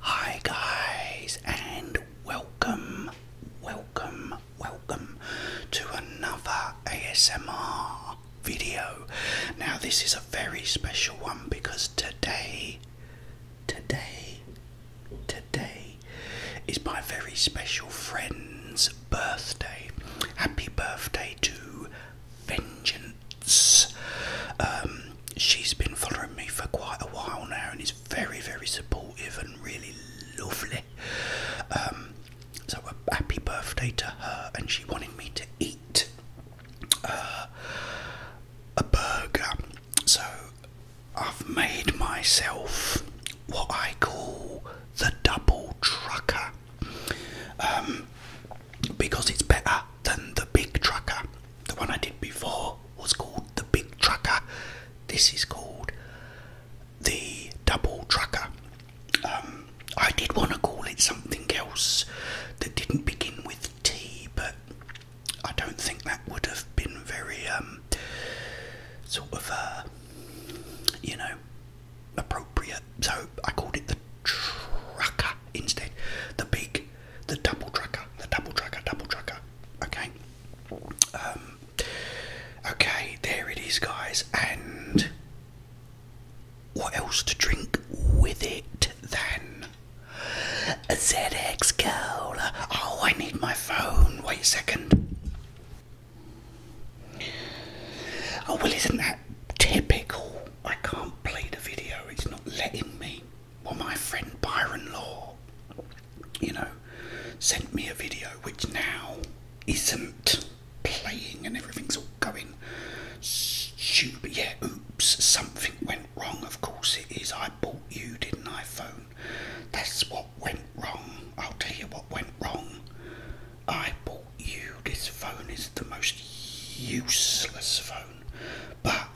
Hi, guys, and welcome, welcome, welcome to another ASMR video. Now, this is a very special one because today, today, today is my very special friend's birthday. Happy birthday to Vengeance. Um, she's been following me for quite a while now and is very, very supportive and really lovely. Um, so, a happy birthday to her, and she wanted me to eat uh, a burger. So, I've made myself what I call the double trucker um, because it's better than the big trucker. The one I did before was called the big trucker. This is called the double trucker. Um, I did want to call it something else that didn't begin with T, but I don't think that would have been very um, sort of, uh, you know, appropriate. So I called it the trucker instead. The big, the double trucker, the double trucker, double trucker. Okay. Um, okay, there it is, guys. And what else to drink with it then? A ZX Cola. Oh, I need my phone. Wait a second. Oh, well, isn't that typical? I can't play the video, it's not letting me well, my friend Byron Law, you know, sent me a video which now isn't playing and everything's all going stupid. Yeah, oops, something went wrong. Of course it is. I bought you, didn't I, phone? That's what went wrong. I'll tell you what went wrong. I bought you. This phone is the most useless phone, but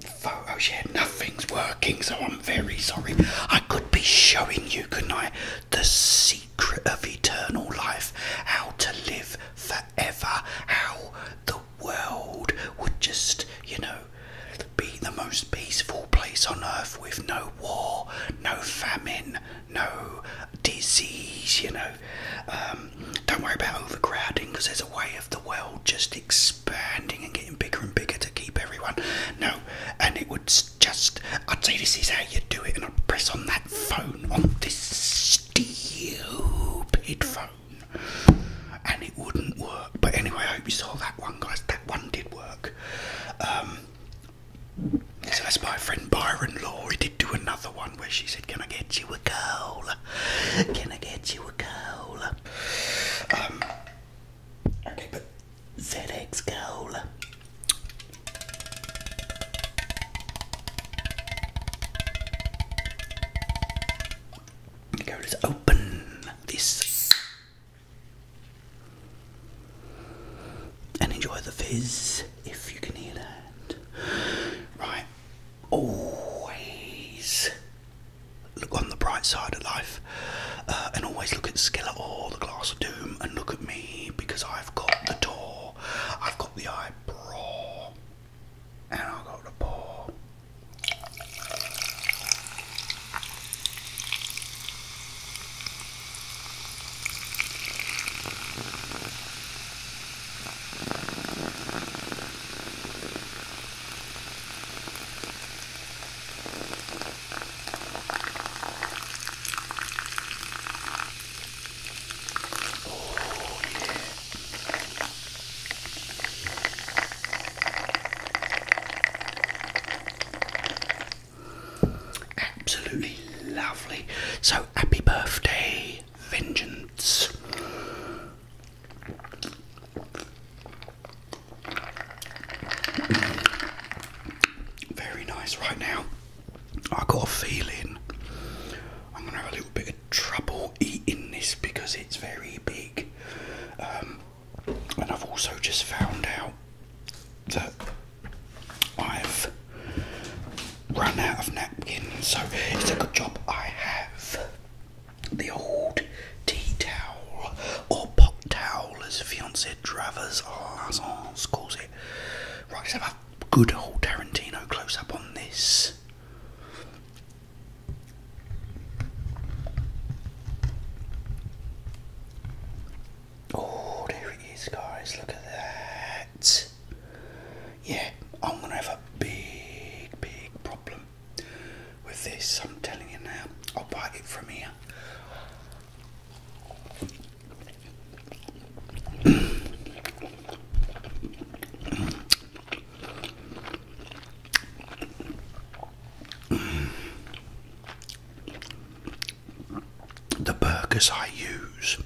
Photoshop, nothing's working, so I'm very sorry. I could be showing you, couldn't I, the secret of eternal life, how to live forever, how the world would just, you know, be the most peaceful place on earth with no war, no famine, no disease, you know. Um, don't worry about overcrowding because there's a way the world just expanding and getting bigger and bigger to keep everyone. No, and it would just, I'd say this is how you do it, and I'd press on that phone, on this stupid phone, and it wouldn't work. But anyway, I hope you saw that one, guys. That one did work. Um, so that's my friend Byron Law. He did do another one where she said, Can I get you a girl? Can I get you a cola? Um, okay, but ZX Cola. Go to open this and enjoy the fizz if you can hear that. Right, always look on the bright side of life uh, and always look at Skillet or the Glass of Doom and look at me because I've got the door, I've got the eyebrow, and I've got the paw. Absolutely lovely. So happy birthday, Vengeance. Very nice right now. I got a feeling I'm gonna have a little bit of trouble eating this because it's very big. Um, and I've also just found out that I've run out of napkins, so it's a good job I have the old tea towel or pot towel, as fiancé Travers Lazance calls it. Right, let's have a good old Tarantino close up on this. Oh, there it is, guys. Look at that. Yeah, I'm gonna have a big, big problem with this. I'm telling you now, I'll buy it from here. the burgers I use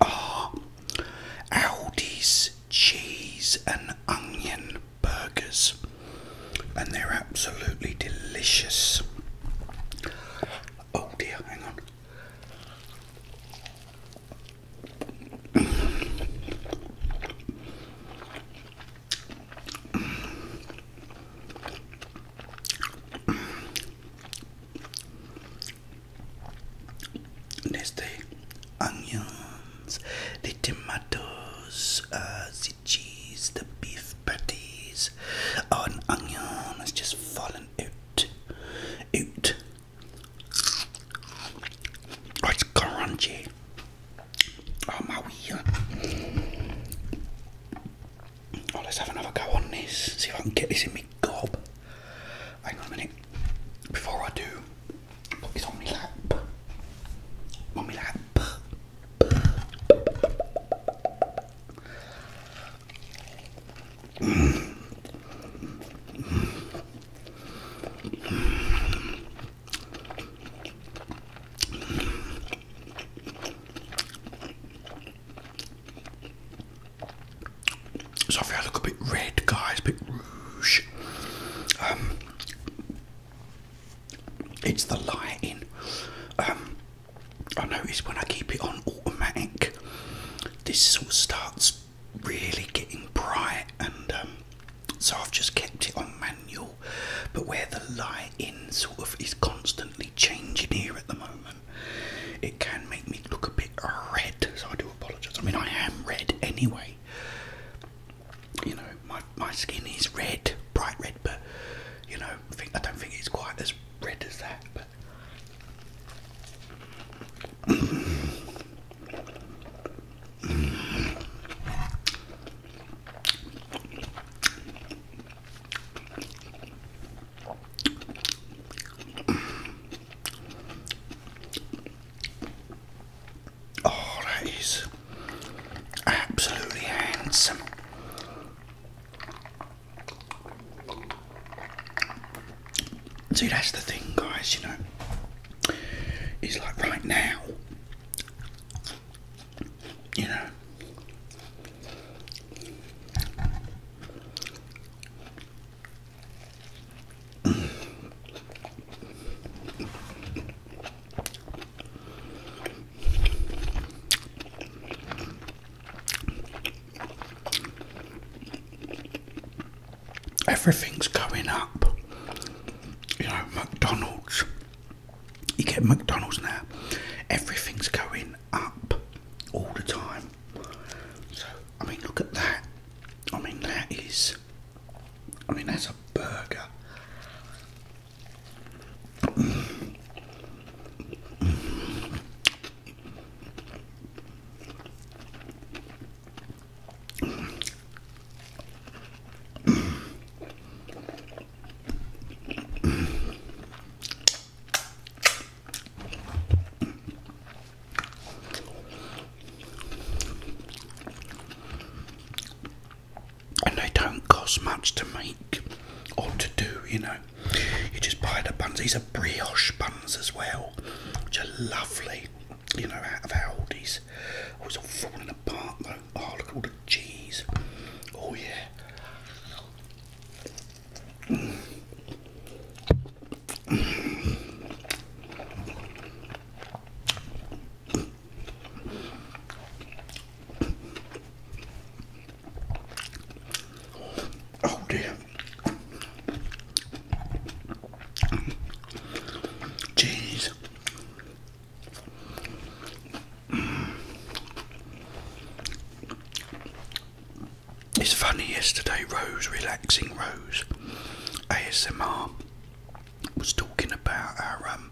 are ah, Aldi's cheese and onion burgers, and they're absolutely delicious. Oh dear, hang on. There's the onions, the tomatoes, uh, the cheese, the beef patties. Oh, an onion has just fallen out. Out. Oh, it's crunchy. Oh, my wheel. Oh, let's have another go on this. See if I can get this in me gob. Hang on a minute. Before I do, it's on my lap. On my lap. Sorry, I look a bit red, guys, a bit rouge. Um, it's the lighting. Um, I notice when I keep it on automatic, this sort starts really getting bright, and um, so I've just kept it on manual. But where the lighting sort of is constantly changing here at the moment it can make me look a bit red, so I do apologise. I mean, I am red anyway. You know, my my skin is red, bright red, but you know, I, I don't think it's quite as red as that. But Oh, that is absolutely handsome. See, that's the thing, guys, you know, it's like right now, you know. Everything's going up. You know, McDonald's. You get McDonald's now. Everything's going up all the time. So I mean, look at that. I mean, that is. I mean, that's a burger. And they don't cost much to make or to do, you know. You just buy the buns. These are brioche buns as well, which are lovely, you know, out of Aldi's. Oh, it's all falling apart though. Oh, look at all the cheese. Oh, yeah. Oh damn! Jeez. It's funny yesterday, Rose, relaxing Rose, ASMR, was talking about our. Um,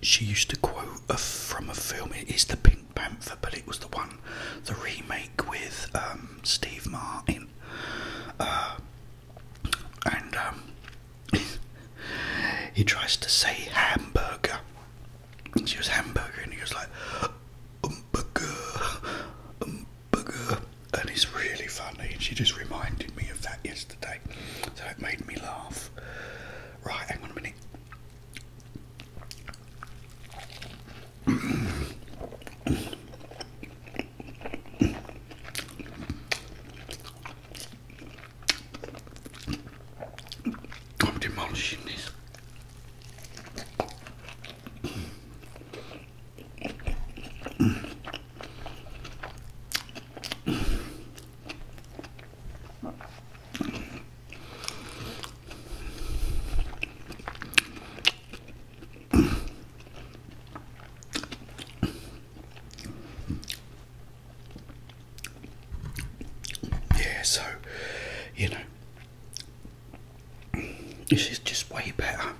she used to quote from a film. It is the Pink Panther, but it was the one, the remake with um, Steve Martin, uh, and um, he tries to say hamburger and she was hamburger, and he was like, umburger, umburger. And it's really funny, and she just reminded me of that yesterday. So it made me laugh. Right, hang on a minute. I'm demolishing this yeah, so you know, this is just way better.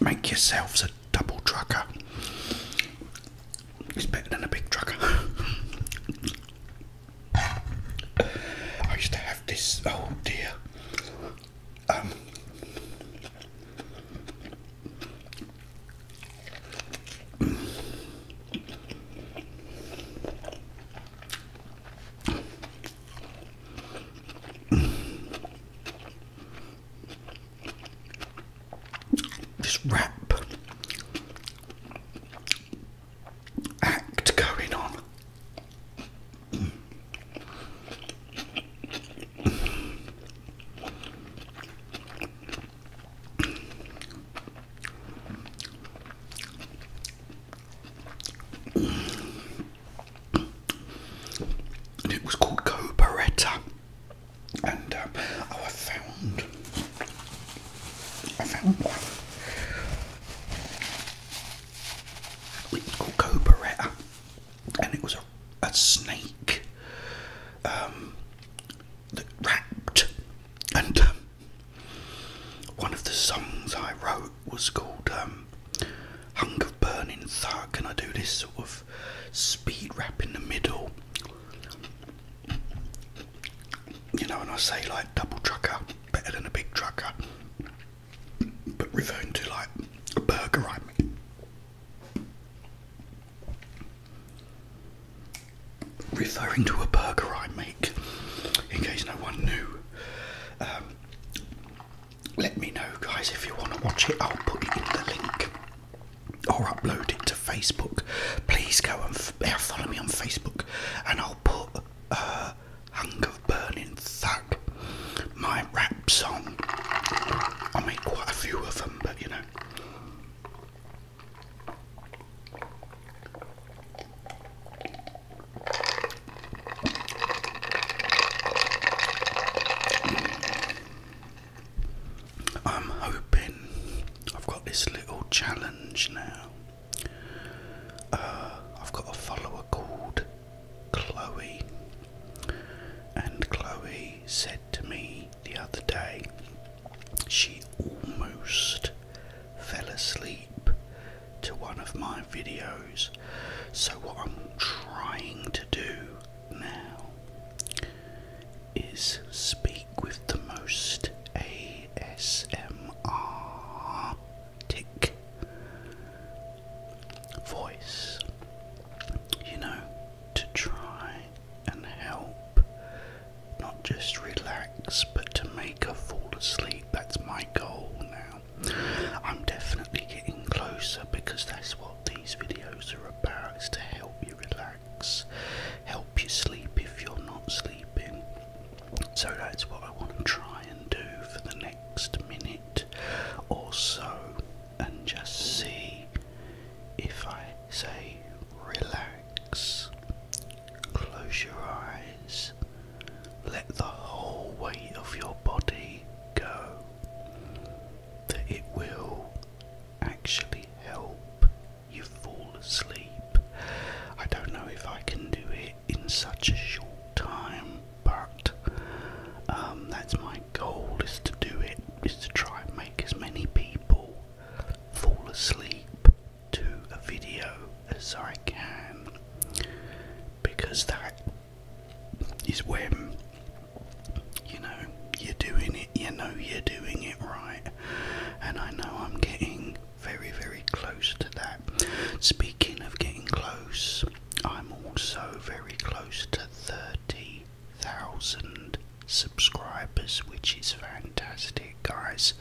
Make yourselves a double trucker. It's better than a big trucker. I used to have this. Oh dear. Um. This rap act going on and it was called Coberetta. And uh, oh, I found, I found one. It was called Coberetta, and it was a, a snake um, that wrapped. And um, one of the songs I wrote wrote was called um, hunk of Burning Thug, and I do this sort of speed rap in the middle. You know, and I say like double trucker, better than a big trucker, but referring to like a burger, right? Referring to a burger I make, in case no one knew. Um, let me know, guys, if you want to watch it. I'll put it in the link or upload it to Facebook. Please go and follow me on Facebook, and I'll put a uh, Hunger Burning Thug, my rap song. I made quite a few of them, but you know. I'm hoping I've got this little challenge now. Uh, I've got a follower called Chloe, and Chloe said to me the other day she almost fell asleep to one of my videos. So, what I'm trying to do now is speak with the most ASMR tick voice, you know, to try and help not just relax but to make her fall asleep. That's my goal now. I'm definitely getting closer because that's what these videos are about is to help you relax, help you sleep if you're not sleeping. So that's what I want to try and do for the next minute or so and just see if I say relax, close your eyes, let the whole weight of your body go that it will actually help you fall asleep. I don't know if I can do it in such a short time, but um, that's my goal is to do it, is to try and make as many people fall asleep to a video as I can because that is when you know you're doing it, you know you're doing it right, and I know I'm getting very, very close to that. Speaking of getting close, I'm also very close to 30,000 subscribers, which is fantastic, guys.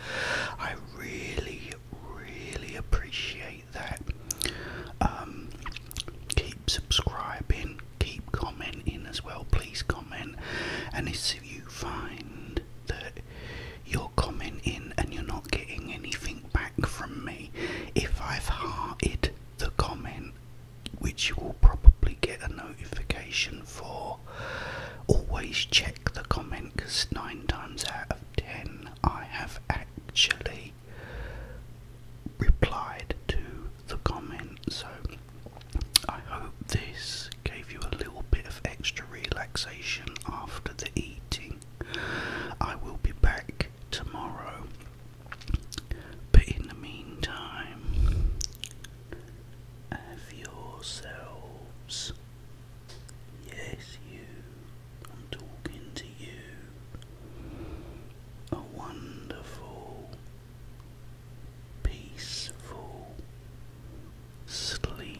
I really, really appreciate that. Um, keep subscribing, keep commenting as well. Please comment, and if you find that you're commenting and you're not getting anything back from me, if I've hearted the comment, which you will probably get a notification for, always check the comment because nine times out of ten I have actually replied to the comment. So I hope this gave you a little bit of extra relaxation after the eating. I will be back tomorrow. But in the meantime, have yourselves. Yes, you. I'm talking to you a wonderful, peaceful sleep.